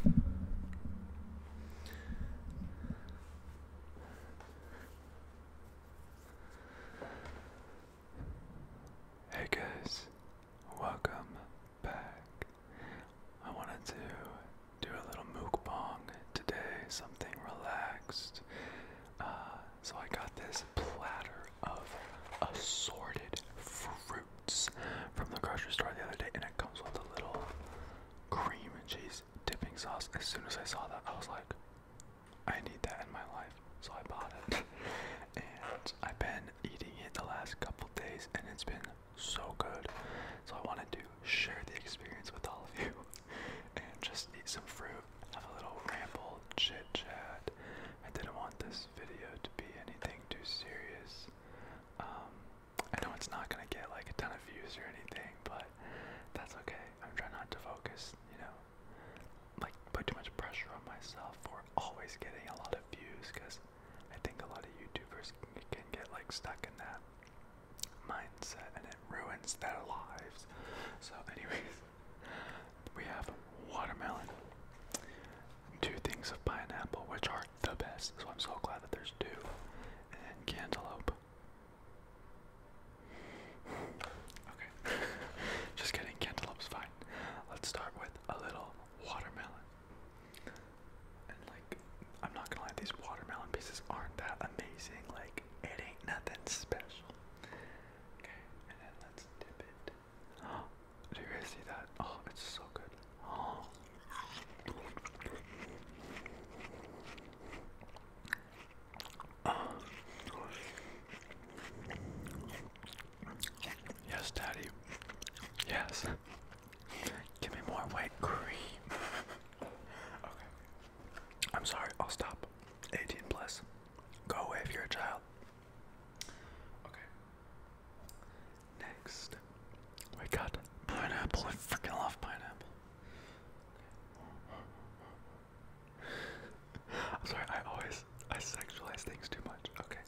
Hey guys, welcome back. I wanted to do a little mukbang today, something relaxed. Uh, so I got this platter of assorted fruit from the grocery store the other day, and it comes with a little cream and cheese dipping sauce. As soon as I saw that, I was like, I need that in my life, so I bought it. and I've been eating it the last couple days, and it's been so good. So I wanted to share the experience with all of you, and just eat some fruit, have a little ramble, chit chat. I didn't want this video to be anything too serious. Um, I know it's not gonna get like a ton of views or anything, but that's okay. I'm trying not to focus, you know, like put too much pressure on myself for always getting a lot of views, because I think a lot of YouTubers can, get like stuck in that mindset, and it ruins their lives. So, anyways, we have watermelon two things of pineapple, which are the best, so I'm so glad that there's two, and cantaloupe. Okay, just getting cantaloupe's fine. Let's start with a little watermelon. And like, I'm not gonna lie, these watermelon pieces aren't that amazing, like, it ain't nothing special. Okay, and then let's dip it. Oh, do you guys see that? Oh, it's so good. Oh. Oh. Yes, Daddy. Yes. Give me more white cream. Okay. I'm sorry, I'll stop. 18 plus. Go away if you're a child. Okay. Next, we got pineapple. I freaking love pineapple. I'm sorry, I always I sexualize things too much. Okay.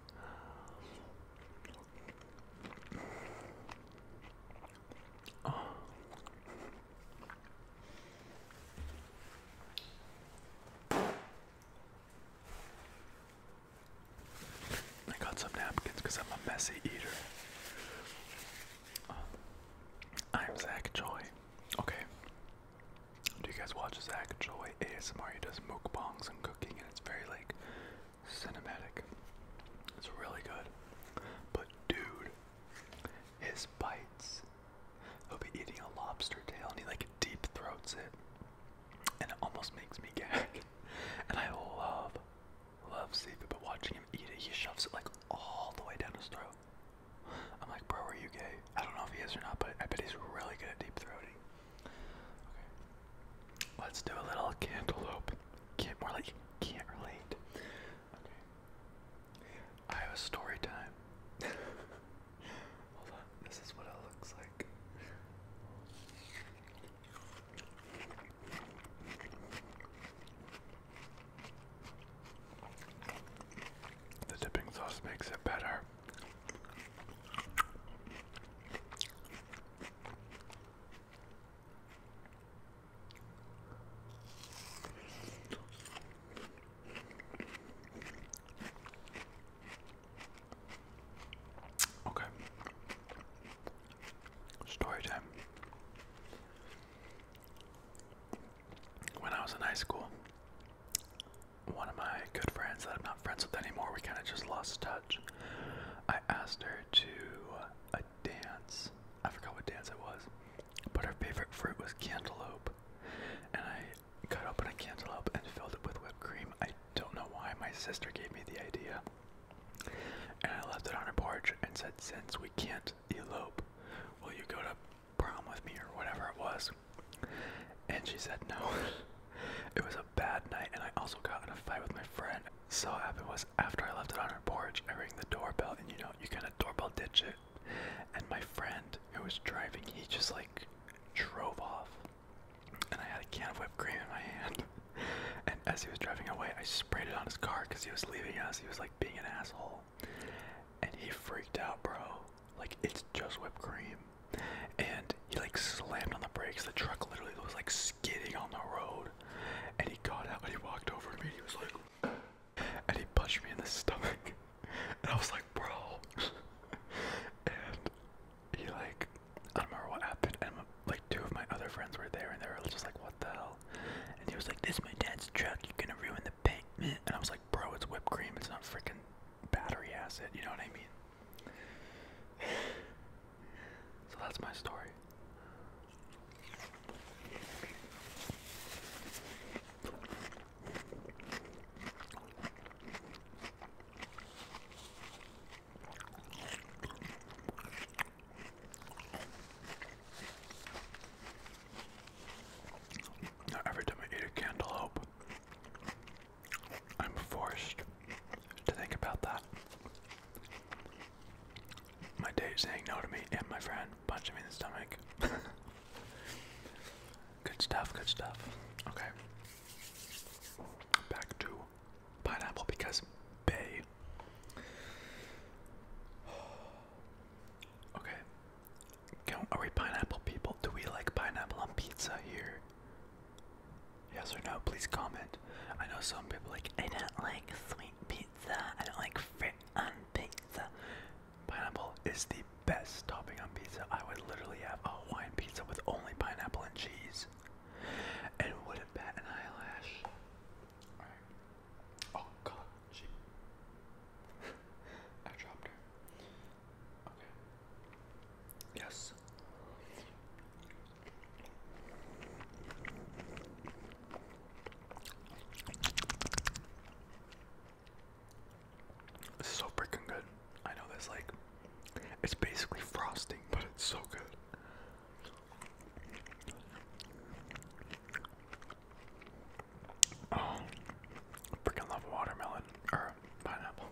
I got some napkins because I'm a messy eater. Um, I'm Zach Joy. Okay. Do you guys watch Zach Joy ASMR? He does mukbangs and cooking, and it's very like cinematic. It's really good. But dude, his bites. He'll be eating a lobster tail, and he like deep throats it and it almost makes me gag. And I love, love seafood, but watching him eat it, he shoves it like all the way down his throat. I'm like, bro, are you gay? I don't know if he is or not, but I bet he's really good at deep throating. Okay, let's do a little cantaloupe. Can't more like can't relate. Okay, I have a story time. Hold on, this is what it looks like. The dipping sauce makes it better. Okay. Story time. When I was in high school, one of my good friends that I'm not friends with anymore, we kind of just lost touch. I asked her to uh, a dance. I forgot what dance it was, but her favorite fruit was cantaloupe. And I cut open a cantaloupe and filled it with whipped cream. I don't know why my sister gave me the idea. And I left it on her porch and said, Since we can't elope, will you go to prom with me or whatever it was? And she said no. it was a bad night, and I also got in a fight with my friend. So what happened was after I left it on her porch, I rang the doorbell, and you know, you kind of doorbell ditch it. And my friend who was driving, he just like drove off and I had a can of whipped cream in my hand. and as he was driving away, I sprayed it on his car because he was leaving us. He was like being an asshole. And he freaked out, bro. Like, it's just whipped cream. And he like slammed on the brakes. The truck literally was like skidding on the road. And he got out and he walked over to me. he was like, and he punched me in the stomach. and I was like, bro. and he like, I don't remember what happened. And like two of my other friends were there, and they were just like, what the hell? And he was like, this is my dad's truck. You're gonna ruin the pavement. And I was like, bro, it's whipped cream. It's not freaking battery acid. You know what I mean? so that's my story every time I eat a cantaloupe, I'm forced to think about that. My date saying no to me and my friend punching me in the stomach. Good stuff, good stuff. Okay. Back to pineapple because bay. Okay. are we pineapple people? Do we like pineapple on pizza here? Yes or no? Please comment. I know some people like, I don't like sweet pizza. I don't like fruit on pizza. Pineapple is the best topping on pizza. I would literally have a Hawaiian pizza with only pineapple and cheese. And would it bat an eyelash? Alright. Oh god, she I dropped her. Okay. Yes so freaking good. I know this like it's basically frosting, but it's so good. Oh, freaking love watermelon or pineapple.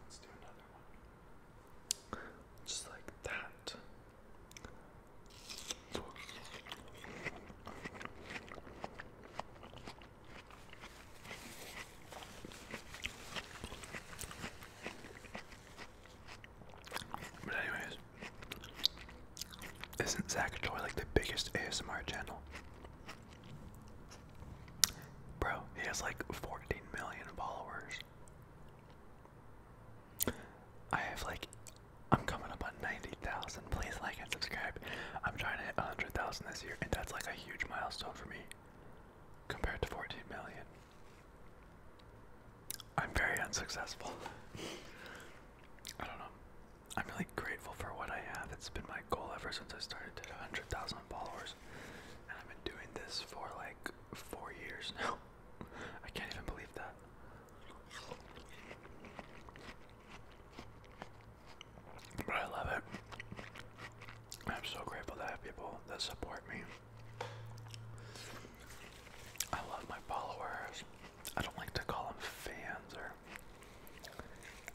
Let's do another one. Just like that. But anyways, isn't Zakatoy like the biggest ASMR channel? Bro, he has like 14 million followers. I have like, I'm coming up on 90,000. Please like and subscribe. I'm trying to hit 100,000 this year, and that's like a huge milestone for me compared to 14 million. I'm very unsuccessful. I don't know. I'm really grateful for what I have. It's been my goal ever since I started at 100,000 followers. And I've been doing this for like four years now. I can't even believe that. But I love it. I'm so grateful to have people that support me. I love my followers. I don't like to call them fans or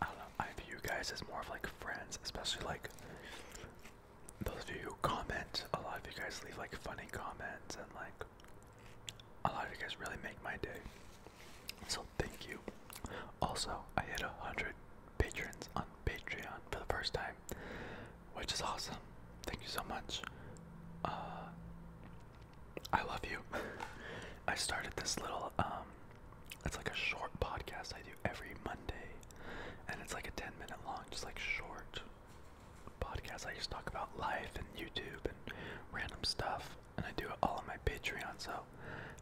I don't know. I view you guys as more of like friends, especially like those of you who comment. A lot of you guys leave like funny comments and like a lot of you guys really make my day. So thank you. Also, I hit a hundred patrons on Patreon for the first time, which is awesome. Thank you so much. Uh, I love you. I started this little um it's like a short podcast I do every Monday and it's like a 10 minute long just like short podcasts. I just talk about life and YouTube and random stuff, and I do it all on my Patreon. So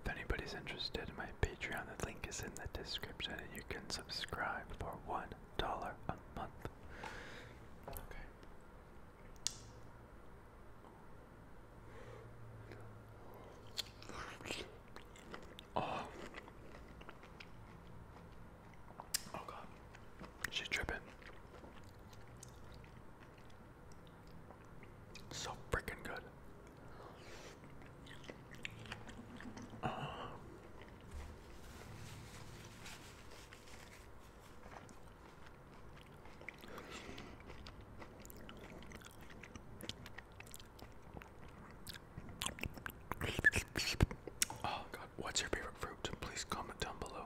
if anybody's interested in my Patreon, the link is in the description, and you can subscribe for one dollar a month. Okay. Oh. Oh god. She's tripping. So freaking good. Uh-huh. oh god, what's your favorite fruit? Please comment down below.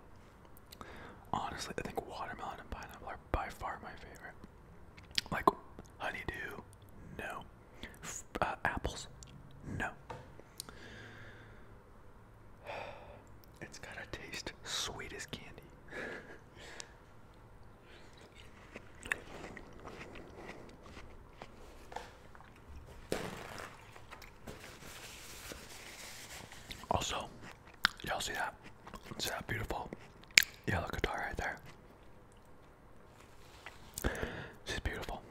Honestly, I think watermelon and pineapple are by far my favorite. Like honeydew, no. Uh, apples, no. It's gotta taste sweet as candy. Also, y'all see that? See that beautiful yellow guitar right there? She's beautiful.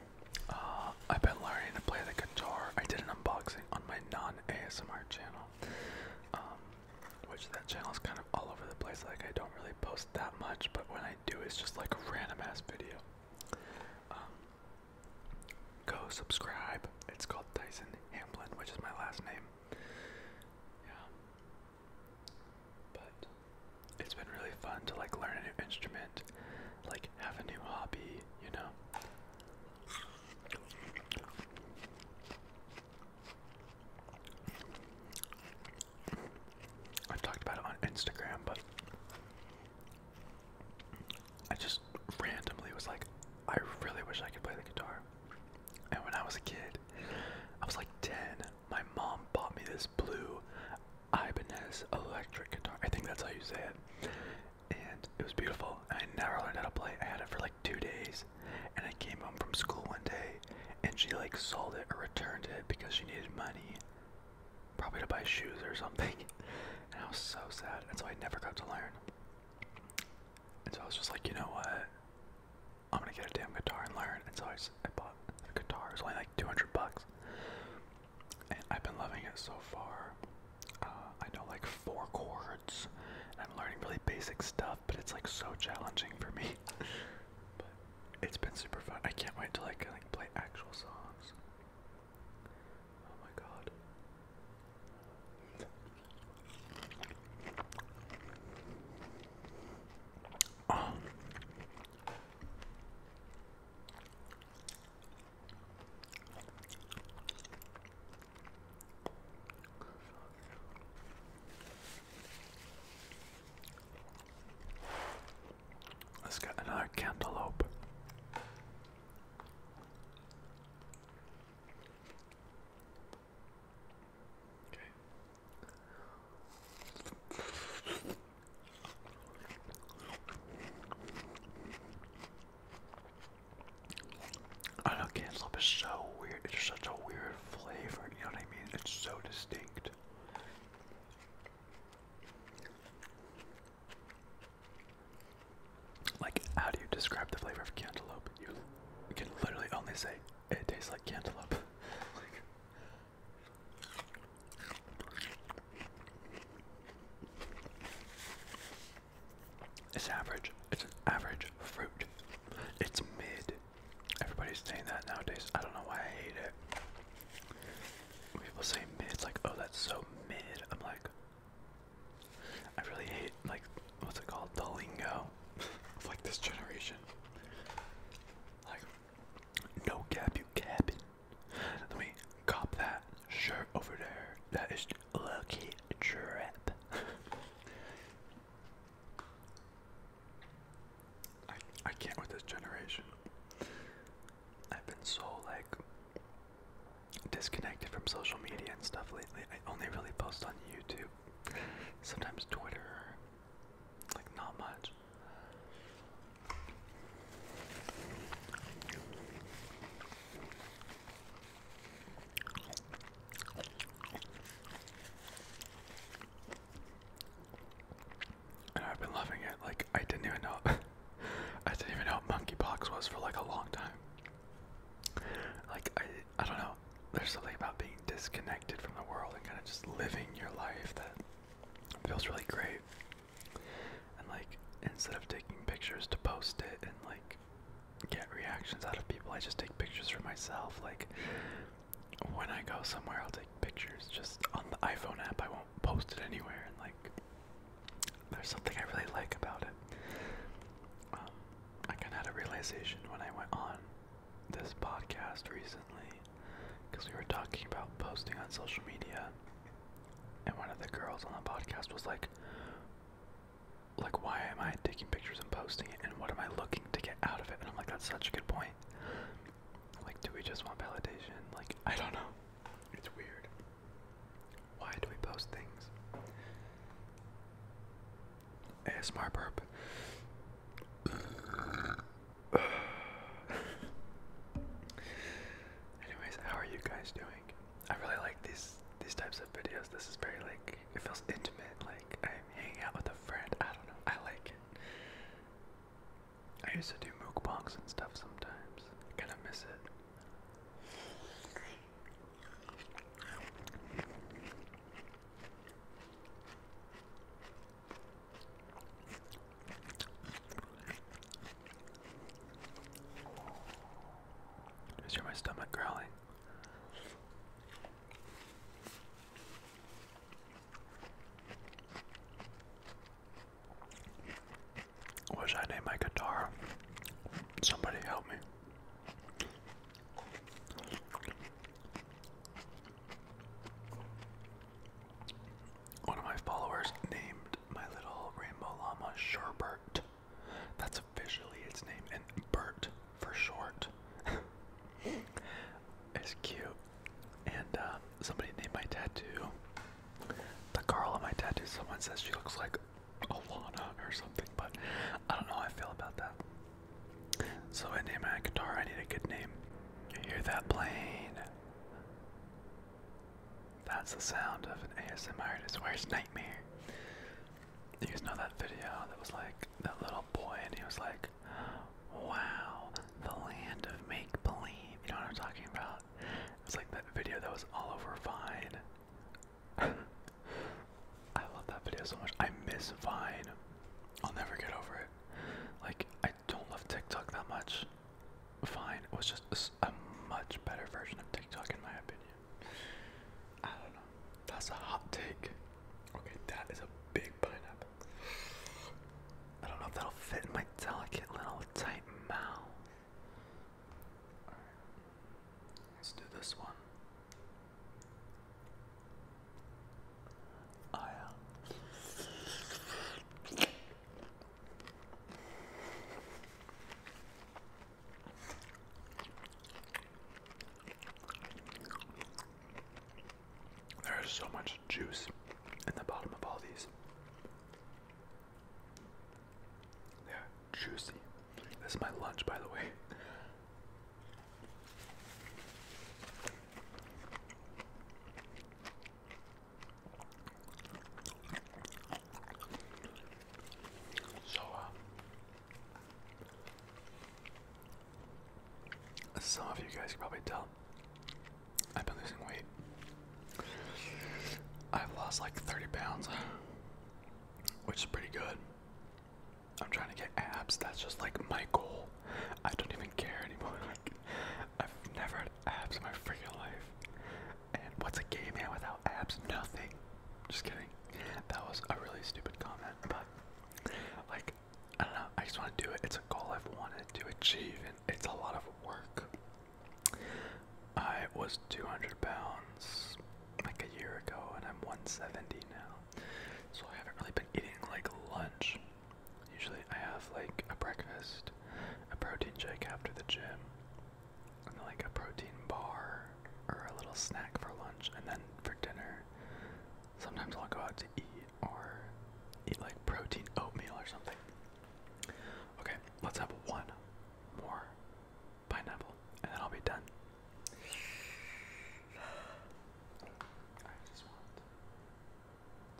Uh, I've been learning to play the guitar. I did an unboxing on my non-ASMR channel, um, which that channel is kind of all over the place. Like I don't really post that much, but when I do, it's just like a random ass video. Um, Go subscribe. It's called Tyson Hamblin, which is my last name. Yeah. But it's been really fun to like learn a new instrument, like have a new hobby, you know. I've talked about it on Instagram, but I just randomly was like, I really wish I could play the guitar. And when I was a kid, I was like 10, my mom bought me this blue Ibanez electric guitar. I think that's how you say it. And it was beautiful. And I never learned how to play. I had it for like two days. And I came home from school one day and she like sold it or returned it because she needed money probably to buy shoes or something. And I was so sad. And so I never got to learn. And so I was just like, you know what? I'm gonna get a damn guitar and learn. And so I, I bought a guitar. It's only like 200 bucks. And I've been loving it so far. Uh, I know like four chords. And I'm learning really basic stuff, but it's like so challenging for me. but it's been super fun. I can't wait until I can like play actual songs. Oh my god. Oh. Let's get another cantaloupe. Okay. I cantaloupe is so weird. It's such a weird flavor. You know what I mean? It's so distinct. Like, how do you describe the flavor of cantaloupe? You can literally only say it tastes like cantaloupe. it's average. It's an average fruit. It's mid. Everybody's saying that nowadays. I don't know why I hate it people say mid, like, oh, that's so mid. I'm like, I really hate, like, what's it called? The lingo of, like, this generation. Like, no cap, you cabin. Let me cop that shirt over there. That is lucky trap. I, I can't with this generation. I've been so like disconnected from social media and stuff lately. I only really post on YouTube, sometimes Twitter, like not much. And I've been loving it. Like I didn't even know I didn't even know monkeypox was for like a long time. Like I I don't know. There's something about being disconnected from the world and kind of just living your life that feels really great. And like instead of taking pictures to post it and like get reactions out of people, I just take pictures for myself. Like when I go somewhere, I'll take pictures just on the iPhone app. I won't post it anywhere. And like, there's something I really like about it. Um, I kind of had a realization when I went on this podcast recently because we were talking about posting on social media, and one of the girls on the podcast was like, "Like, why am I taking pictures and posting it? And what am I looking to get out of it?" And I'm like, "That's such a good point." Like, do we just want validation? Like, I don't know. It's weird. Why do we post things? ASMR burp. Anyways, how are you guys doing? I really like these these types of videos. This is very like it feels intimate, like I'm hanging out with a friend. I don't know. I like it. I used to do mukbangs and stuff sometimes. I kind of miss it. Just my stomach growling. What should I named my guitar? Somebody help me. One of my followers named my little rainbow llama Sherbert. That's officially its name, and Bert for short. it's cute. And uh, somebody named my tattoo, the girl on my tattoo, someone says she looks like Alana or something, but I don't know how I feel about that. So I named my guitar, I need a good name. You hear that plane? That's the sound of an ASMR artist. worst Nightmare? You guys know that video that was like that little boy and he was like, wow, the land of make believe. You know what I'm talking about? It's like that video that was all over Vine. I love that video so much. I miss Vine. I'll never get over it. Like, I don't love TikTok that much. Vine was just a, a much better version of TikTok, in my opinion. I don't know. That's a hot take. Okay, that is a big big pineapple. I don't know if that'll fit in my delicate little tight mouth. Let's do this one. Oh, there is so much juice in the bottom of all these. they juicy. This is my lunch, by the way. So, uh, some of you guys can probably tell I've been losing weight. I've lost like 30 pounds, which is pretty good. I'm trying to get abs. That's just like my goal. I don't even care anymore. I've never had abs in my freaking life. And what's a gay man without abs? Nothing. Just kidding. That was a really stupid comment, but like I don't know, I just want to do it. It's a goal I've wanted to achieve, and it's a lot of work. I was 200 pounds like a year ago, and I'm 170 now. So I haven't really been eating like lunch. Usually I have like a breakfast, a protein shake after the gym, and like a protein bar or a little snack for lunch, and then for dinner Sometimes I'll go out to eat or eat like protein oatmeal or something. Okay, let's have one more pineapple and then I'll be done. I just want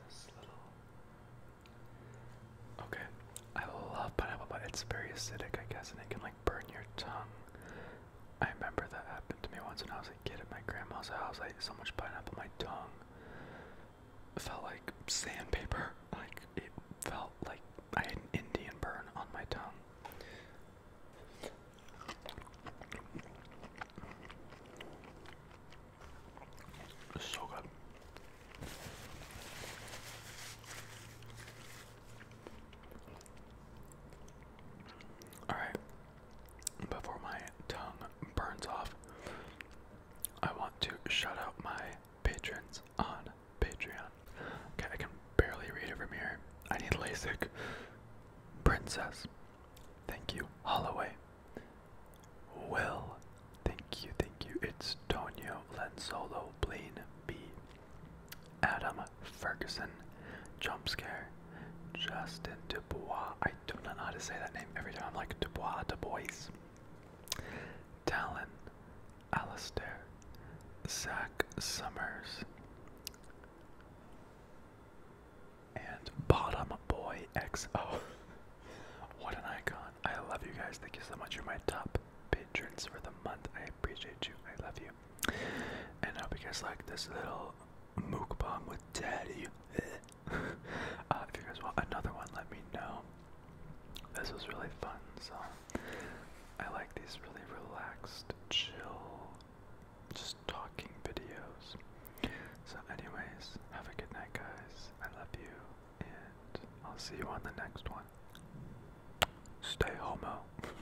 this little. Okay, I love pineapple, but it's very acidic, I guess, and it can like burn your tongue. I remember that happened to me once when I was a kid at my grandma's house. I ate so much pineapple, my tongue It felt like sandpaper. Like it felt like I had an Indian burn on my tongue. It's so good. All right, before my tongue burns off, I want to shout out my patrons on Patreon. Okay, I can barely read it from here. I need LASIK. Princess, thank you. Holloway, Will, thank you, thank you. It's Tonio Lenzolo, Blaine B. Adam Ferguson, jump scare. Justin Dubois. I do not know how to say that name every time. I'm like Dubois, Dubois. Talon, Alastair, Zach Summers, and Bottom Boy XO. what an icon. I love you guys. Thank you so much. you my top patrons for the month. I appreciate you. I love you. And I hope you guys like this little mukbang with daddy. Uh, if you guys want another one, let me know. This was really fun, so I like these really relaxed, chill, just talking videos. So, anyways, have a good night, guys. I love you, and I'll see you on the next one. Stay homo.